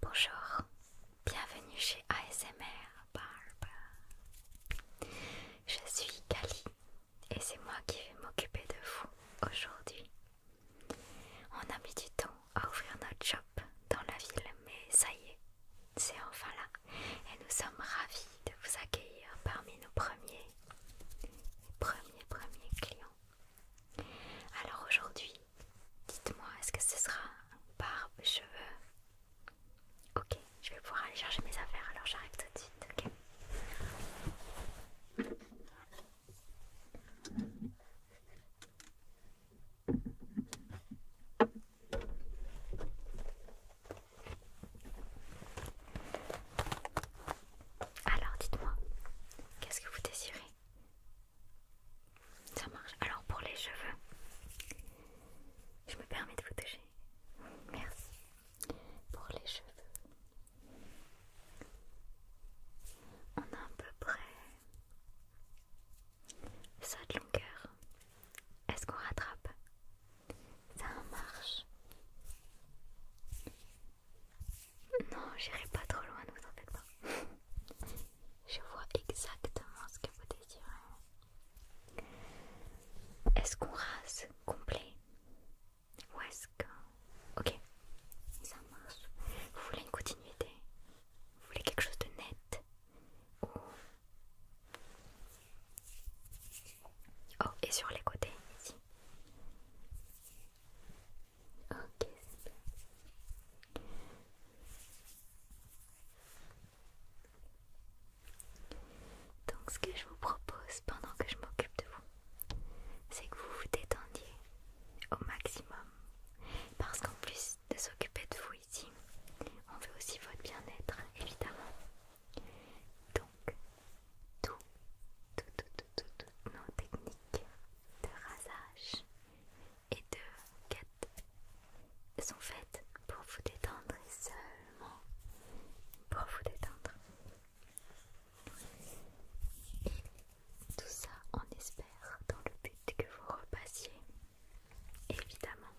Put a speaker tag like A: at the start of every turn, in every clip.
A: Bonjour, bienvenue chez ASMR Barbe. Je suis Kali et c'est moi qui vais m'occuper de vous aujourd'hui. On a mis du temps à ouvrir notre shop dans la ville, mais ça y est, c'est enfin là et nous sommes ravis de vous accueillir parmi nos premiers, premiers, premiers clients. Alors aujourd'hui, dites-moi, est-ce que ce sera barbe, cheveux Ok, je vais pouvoir aller chercher mes affaires, alors j'arrive tout de suite, ok alors dites-moi, qu'est-ce que vous désirez ça marche. Alors pour les cheveux, je me permets de vous toucher. Merci. Pour les cheveux, on a à peu près ça de longueur. Est-ce qu'on rattrape Ça marche. Non, j'irai pas trop loin, ne vous en faites pas. Je vois exactement ce que vous désirez. Est-ce qu'on rase complet Ou est-ce que... Ok, ça marche. Vous voulez une continuité Vous voulez quelque chose de net Ou... Oh, et sur les côtés, ici Ok, Donc ce que je vous propose pendant que je m'occupe de vous, c'est que vous vous détendiez au maximum. Parce qu'en plus de s'occuper de vous ici, on veut aussi votre bien-être, évidemment. Donc, tout, tout, tout, tout, toutes nos techniques de rasage et de quêtes sont faites pour vous détendre seulement pour vous détendre. Et tout ça, on espère, dans le but que vous repassiez. Évidemment,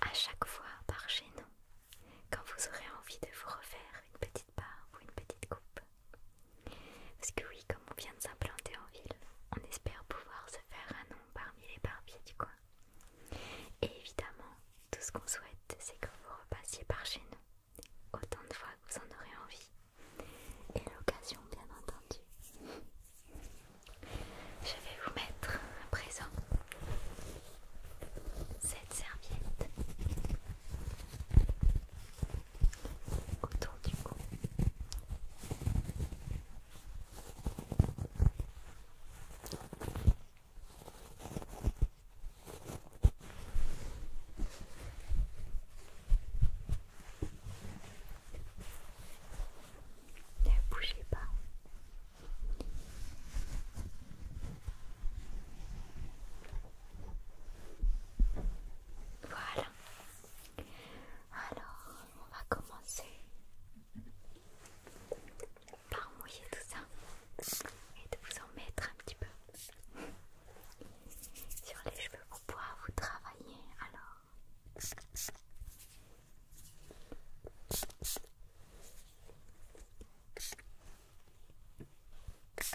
A: à chaque fois par chez nous, quand vous aurez envie de vous refaire une petite par une petite coupe. Parce que oui, comme on vient de s'implanter en ville, on espère pouvoir se faire un nom parmi les barbiers du coin. Et évidemment, tout ce qu'on souhaite, c'est que vous repassiez par chez nous, autant de fois que vous en aurez envie. Et l'occasion, bien entendu. Je vais vous mettre à présent cette serviette autour du coup, Ne bougez pas. Voilà. Alors, on va commencer par mouiller tout ça et de vous en mettre un petit peu sur les cheveux pour pouvoir vous travailler. Alors.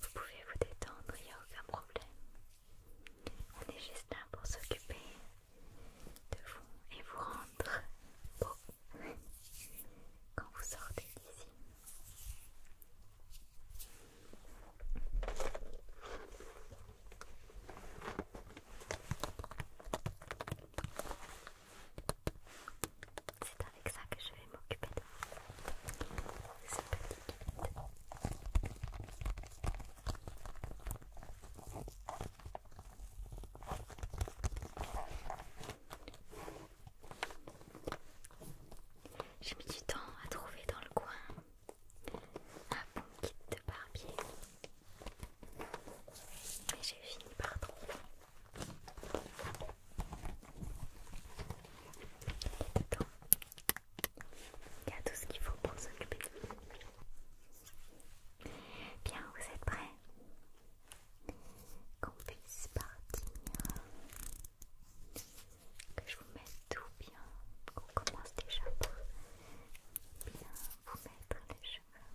A: Vous pouvez vous détendre, il n'y a aucun problème. On est juste là pour s'occuper de vous et vous rendre beau quand vous sortez d'ici. C'est avec ça que je vais m'occuper de petit J'ai mis du temps à trouver dans le coin un bon kit de barbier, mais j'ai fini par trouver. Il y a tout ce qu'il faut pour s'occuper. Bien, vous êtes prêts Qu'on puisse partir. Que je vous mette tout bien. Qu'on commence déjà par bien vous mettre les cheveux.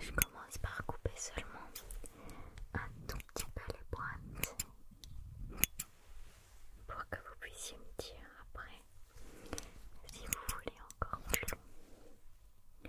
A: Je commence par couper seulement un tout petit peu les pointes pour que vous puissiez me dire après si vous voulez encore plus long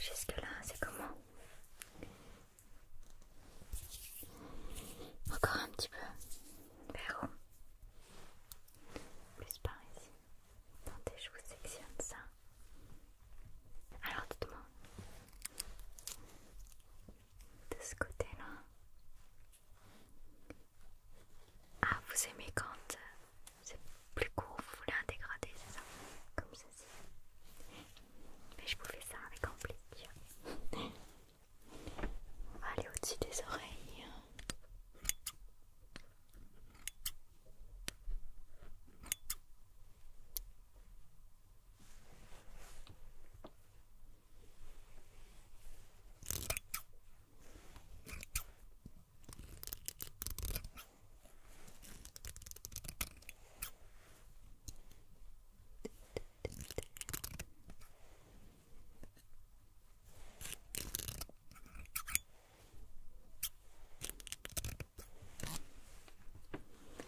A: Jusque-là, c'est comment Encore un petit peu. Plus par ici. Attendez, je vous sectionne ça. Alors tout le monde, De ce côté-là. Ah, vous aimez quand euh, c'est plus court, vous voulez un dégradé, c'est ça Comme ceci. Mais je vous fais ça avec amplitude. Allez aller au-dessus des oreilles.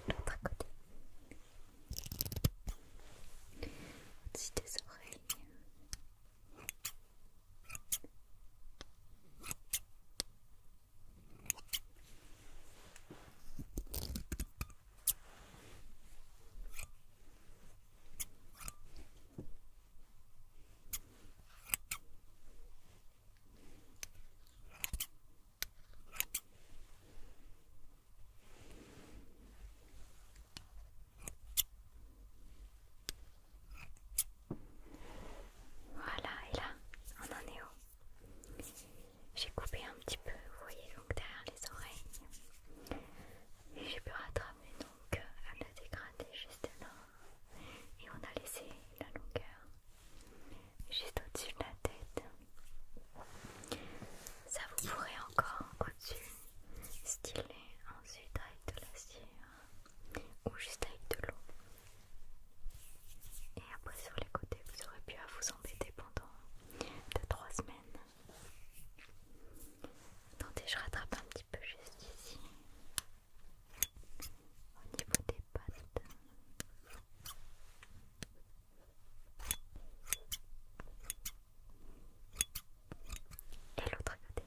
A: L'autre côté. Au-dessus des oreilles. Voilà, et là, on en est où J'ai coupé un petit peu, vous voyez, donc derrière les oreilles et j'ai pu rattraper donc à euh, a dégradé juste là et on a laissé la longueur juste au-dessus de la tête ça vous pourrait encore au-dessus styler ensuite avec de la cire hein, ou juste avec de l'eau et après sur les côtés vous aurez pu à vous embêter pendant 2-3 semaines Attendez, je rattrape un petit peu juste ici. Au niveau des pattes. Et l'autre côté.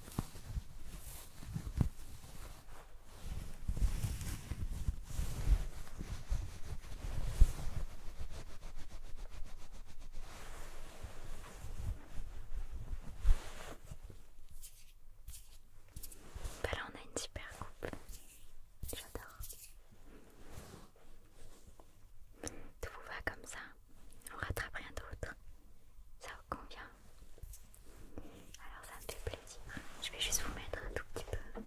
A: Bah là on a une super coupe, j'adore. Tout vous va comme ça on rattrape rien d'autre. Ça vous convient Alors ça me fait plaisir. Je vais juste vous mettre un tout petit peu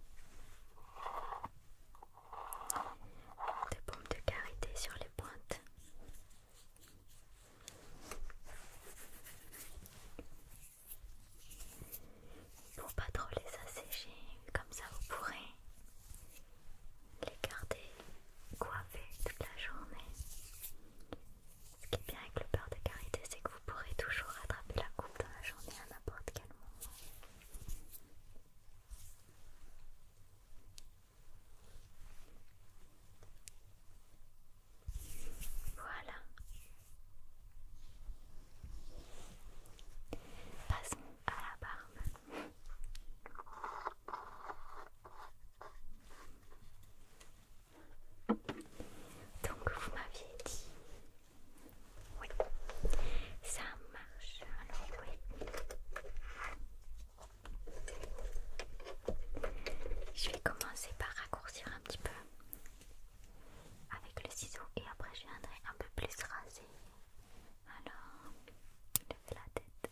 A: de pompe de karité sur les pointes. Pour pas trop les assécher, comme ça vous pourrez les garder coiffés toute la journée. Ce qui est bien avec le beurre de karité, c'est que vous pourrez toujours attraper la coupe dans la journée à n'importe quel moment. Voilà. Passons à la barbe. Donc vous m'aviez dit... Oui, ça marche. Alors oui. Je vais commencer par raccourcir un petit peu avec le ciseau et après je viendrai un peu plus raser, Alors, levez la tête.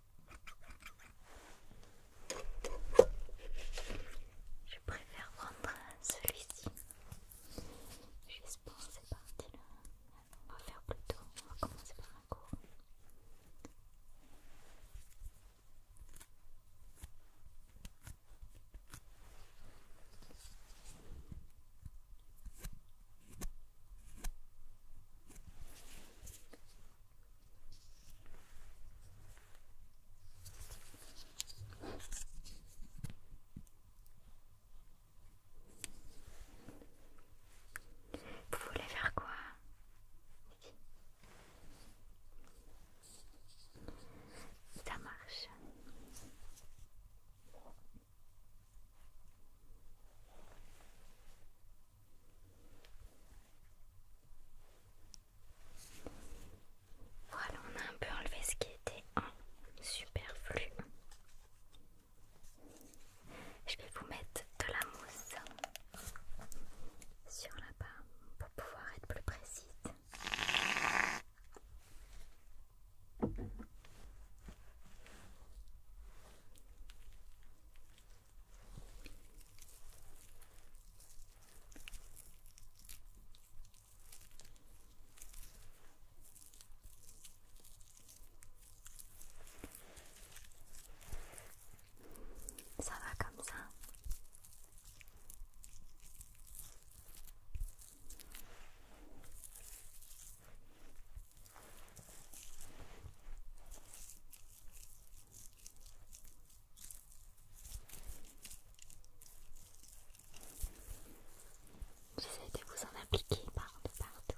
A: Je préfère prendre celui-ci. J'espère que c'est parti là. On va faire plutôt. On va commencer par un cours. Vous voulez faire quoi Ça marche. Voilà, on a un peu enlevé ce qui était en superflu. Je vais vous mettre de la mousse sur la barre pour pouvoir être plus précise. Ça va comme ça. J'essaie de vous en appliquer partout.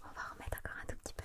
A: On va remettre encore un tout petit peu.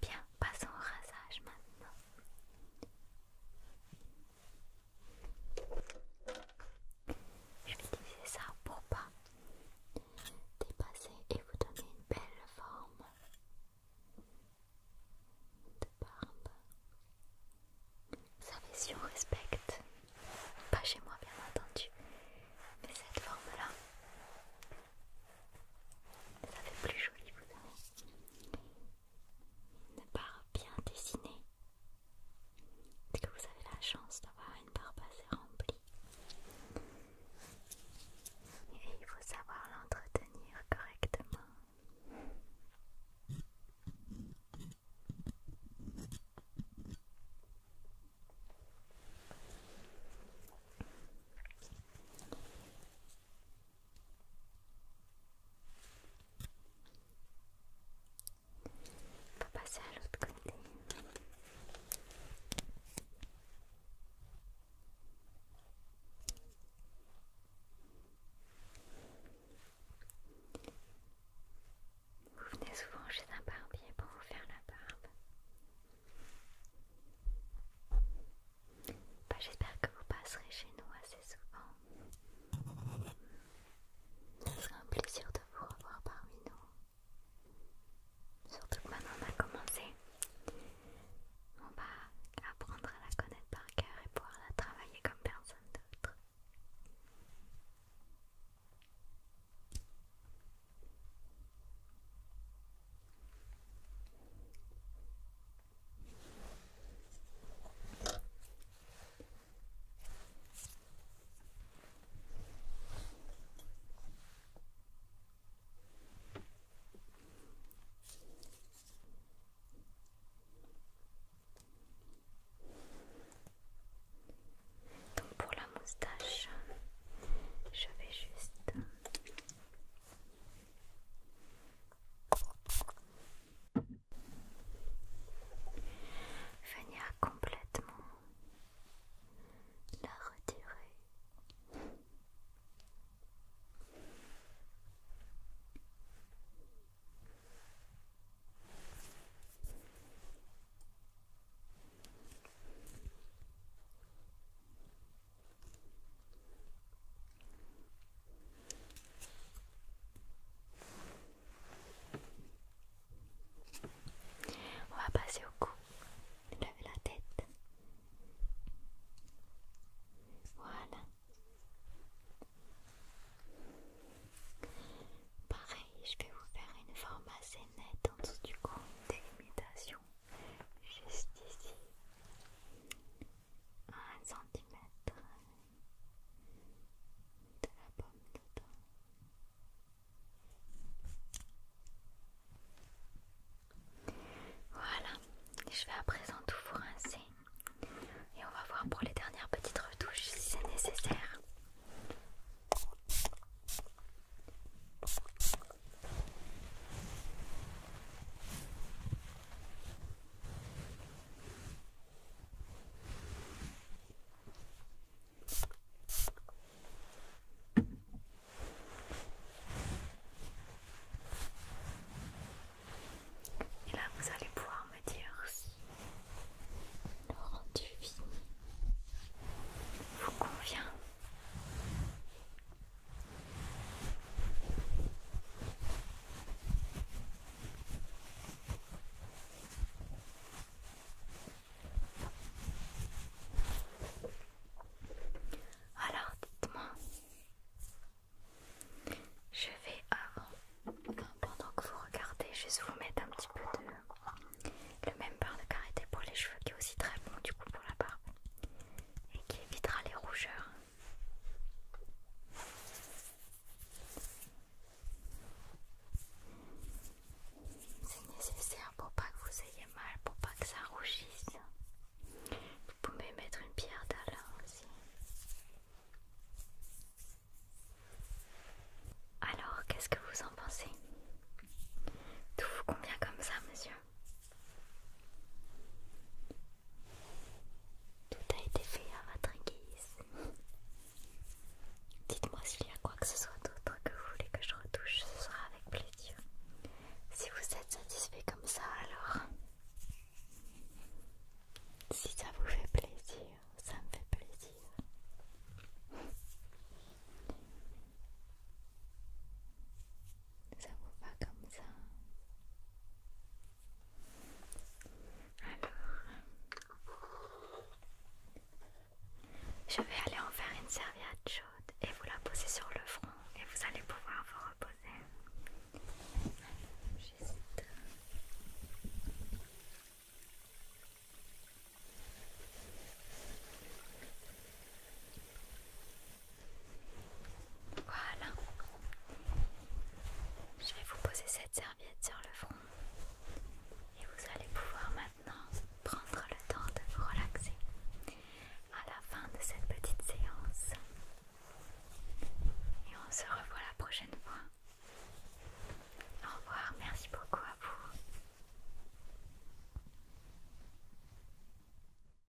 A: Bien, passons au rasage maintenant. Je vais utiliser ça pour pas dépasser et vous donner une belle forme de barbe. ça savez si on respecte, pas chez moi bien entendu, mais cette forme là, ça fait plus joli vous savez une barbe bien dessinée. parce que vous avez la chance d'avoir une barbe assez remplie Et il faut savoir l'entretenir correctement passer à l'autre côté. Vous venez souvent chez un barbier pour vous faire la barbe. Bah, j'espère que vous passerez chez nous assez souvent sera un plaisir de vous revoir parmi nous. Surtout que maintenant on a commencé. On va apprendre à la connaître par cœur et pouvoir la travailler comme personne d'autre. Donc pour la moustache, je vais juste Venir complètement la retirer. On va passer au cou. Lève la tête. Voilà. Pareil, je vais vous faire une forme assez nette en dessous du cou, une délimitation juste ici. Un centimètre de la pomme de Voilà, je vais à présent tout vous rincer et on va voir pour les dernières petites retouches si c'est nécessaire. Et là, vous allez pouvoir me dire si le rendu vous convient. Alors, dites-moi, je vais avant, pendant que vous regardez, vais vous mettre un petit peu de le même beurre de karité pour les cheveux qui est aussi très bon du coup pour la barbe et qui évitera les rougeurs. C'est nécessaire pour pas que vous ayez mal, pour pas que ça rougisse. Vous pouvez mettre une pierre d'alarme aussi. Alors, qu'est-ce que vous en pensez Tout vous convient comme ça, monsieur tout a été fait à hein, votre guise. Dites-moi s'il y a quoi que ce soit d'autre que vous voulez que je retouche, ce sera avec plaisir. Si vous êtes satisfait comme ça, alors... Si ça vous fait plaisir, ça me fait plaisir ça vous va comme ça alors je vais aller en faire une serviette chaude et vous la posez sur le front et vous allez pouvoir vous reposer voilà. Je vais vous poser cette serviette sur le front et vous allez pouvoir maintenant prendre le temps de vous relaxer. À la fin de cette petite séance. Et on se revoit la prochaine fois. Au revoir, merci beaucoup à vous.